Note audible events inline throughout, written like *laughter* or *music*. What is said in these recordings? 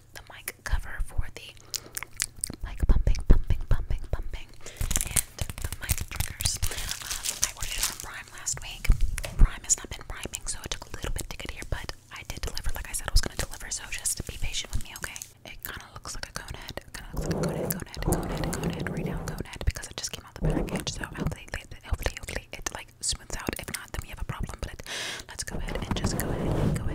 got the mic cover for the mic pumping, pumping, pumping, pumping, and the mic triggers. Um, I ordered it on Prime last week. Prime has not been priming, so it took a little bit to get here, but I did deliver. Like I said, I was going to deliver, so just be patient with me, okay? It kind of looks like a cone head. Kind of looks like a cone head, cone head, cone head, cone head, right now, cone head, because it just came out the package. So hopefully, hopefully, hopefully, it like smooths out. If not, then we have a problem. But it, let's go ahead and just go ahead and go ahead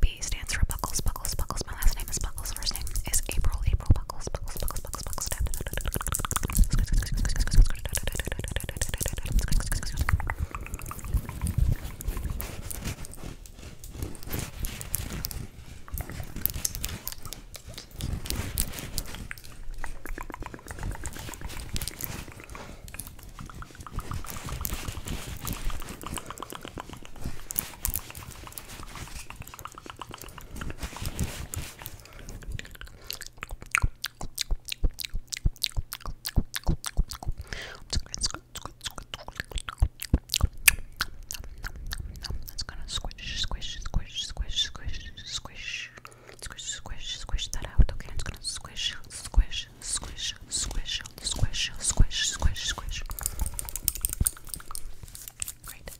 B stands for Buckles, Buckles, Buckles. My last name is Buckles. First name is April, April Buckles, Buckles, Buckles, Buckles, Buckles. That's gonna squish, squish, squish, squish, squish, squish. Squish, squish, squish that out. Okay, it's gonna squish, squish, squish, squish, squish, squish, squish, squish. Great.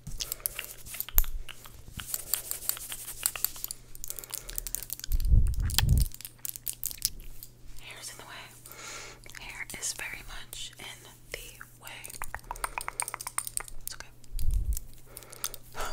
Hair's in the way. Hair is very much in the way. It's okay. *gasps*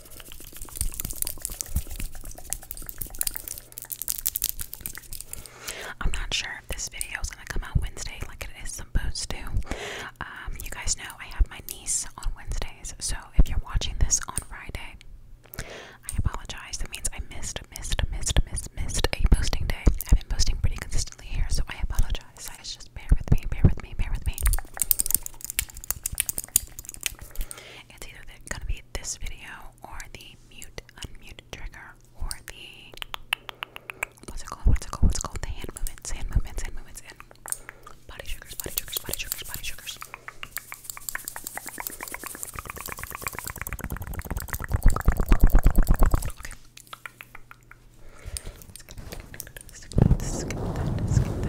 I'm not sure if this video is going to come out Wednesday like it is supposed to. Um, you guys know I have my niece on Wednesdays, so if you're watching this on Friday, I apologize. That means I missed, missed, missed, missed, missed a posting day. I've been posting pretty consistently here, so I apologize. I just bear with me, bear with me, bear with me. It's either going to be this video or the mute unmute trigger or the what's it called? What's it called? What's called? The hand movements, hand movements, hand movements, and body triggers, body triggers, body triggers, body triggers. Okay.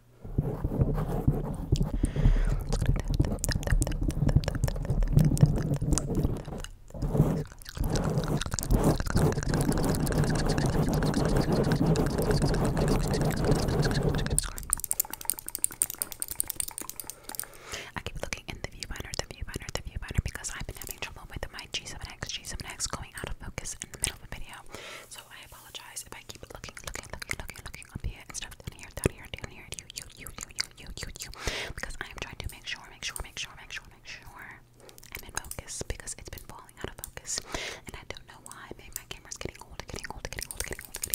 I keep looking in the viewfinder, the viewfinder, the viewfinder because I've been having trouble with my G7X, G7X going out of focus in the middle of a video. So I apologize if I keep looking, looking, looking, looking, looking up here and stuff down here, down here, down here, you, you, you, you, you, you, you, because I am trying to make sure, make sure, make sure, make sure, make sure I'm in focus because it's been falling out of focus, and I don't know why. Maybe my camera's getting getting old, getting old, getting old. Getting old.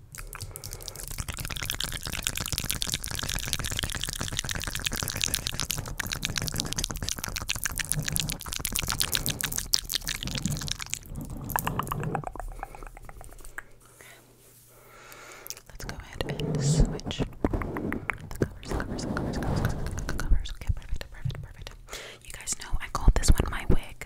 Let's go ahead and switch the covers, covers, covers, covers, covers. Okay, perfect, perfect, perfect. You guys know I called this one my wig.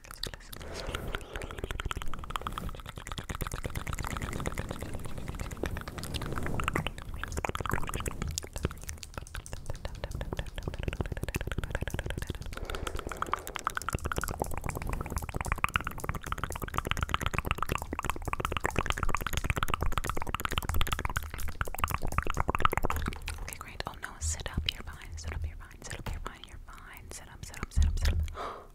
Okay, great. Oh no, sit up, you're fine. Sit up, you're fine. Sit up, you're fine. You're fine. Sit up, sit up, sit up, sit up. *gasps*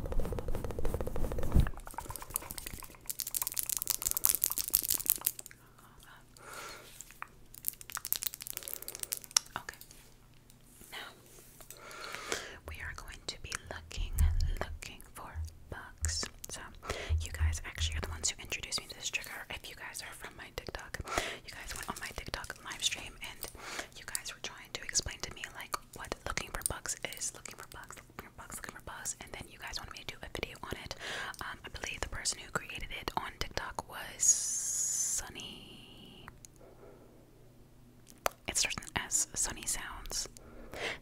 Okay. Now we are going to be looking, looking for books. So you guys actually are the ones who introduced me to this trigger. If you guys are from my TikTok, you guys went on my TikTok live stream and you guys were trying to explain to me like what looking for bugs is looking for bugs, looking for bugs, looking for bugs, and then you guys wanted me to do a video on it. Um, I believe the person who created it on TikTok was Sunny. It starts with an S. Sunny sounds,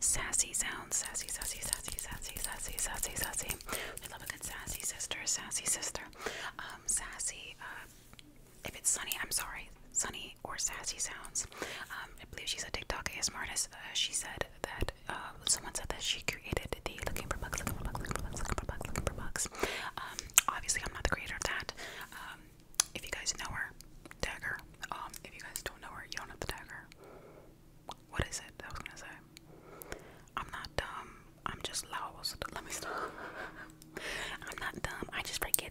sassy sounds, sassy, sassy, sassy, sassy, sassy, sassy, sassy. We love a good sassy sister, sassy sister, um, sassy. Uh, if it's Sunny, I'm sorry, Sunny or Sassy Sounds. Um, I believe she's a TikTok ASMR artist. Uh, she said that uh, someone said that she created the looking for bugs, looking for bugs, looking for bugs, looking for bugs, um, obviously, I'm not the creator of that. Um, if you guys know her, tag if you guys don't know her, you don't have the tag What is it? I was gonna say. I'm not dumb. I'm just lost. Let me stop. *laughs* I'm not dumb. I just break forget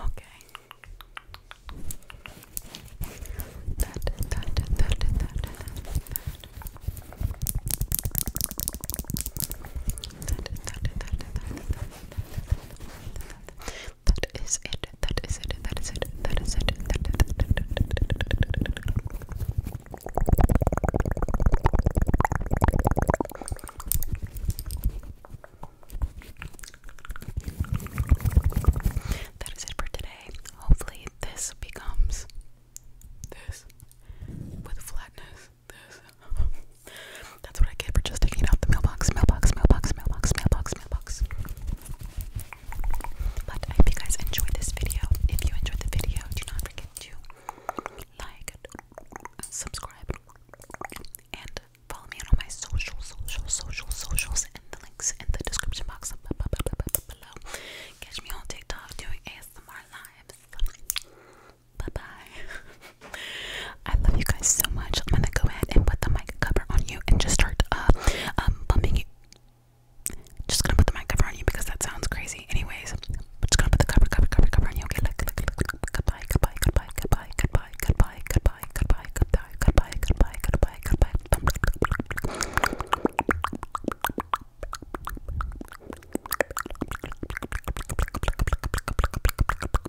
Okay. That, that, that, that, that, that, that. That is it. That is it. That is it. That is it. That is it for today. Hopefully, this becomes this with flatness. This. *laughs* That's what I get for just taking it out the mailbox, mailbox, mailbox, mailbox, mailbox, mailbox. But I hope you guys enjoyed this video. If you enjoyed the video, do not forget to like, subscribe, and follow me on all my social, social, social, socials, and the links in the description box below. Catch me on TikTok doing ASMR lives. Bye bye. *laughs* I love you guys so much. I'm gonna go ahead and put the mic cover on you and just start uh, um, bumping you. Just gonna put the mic cover on you because that sounds crazy. Anyways, I'm just gonna put the cover, cover, cover, cover on you. Okay, look, look, look, look. Goodbye, goodbye, goodbye, goodbye, goodbye, goodbye, goodbye, goodbye, goodbye, goodbye, goodbye, goodbye, goodbye.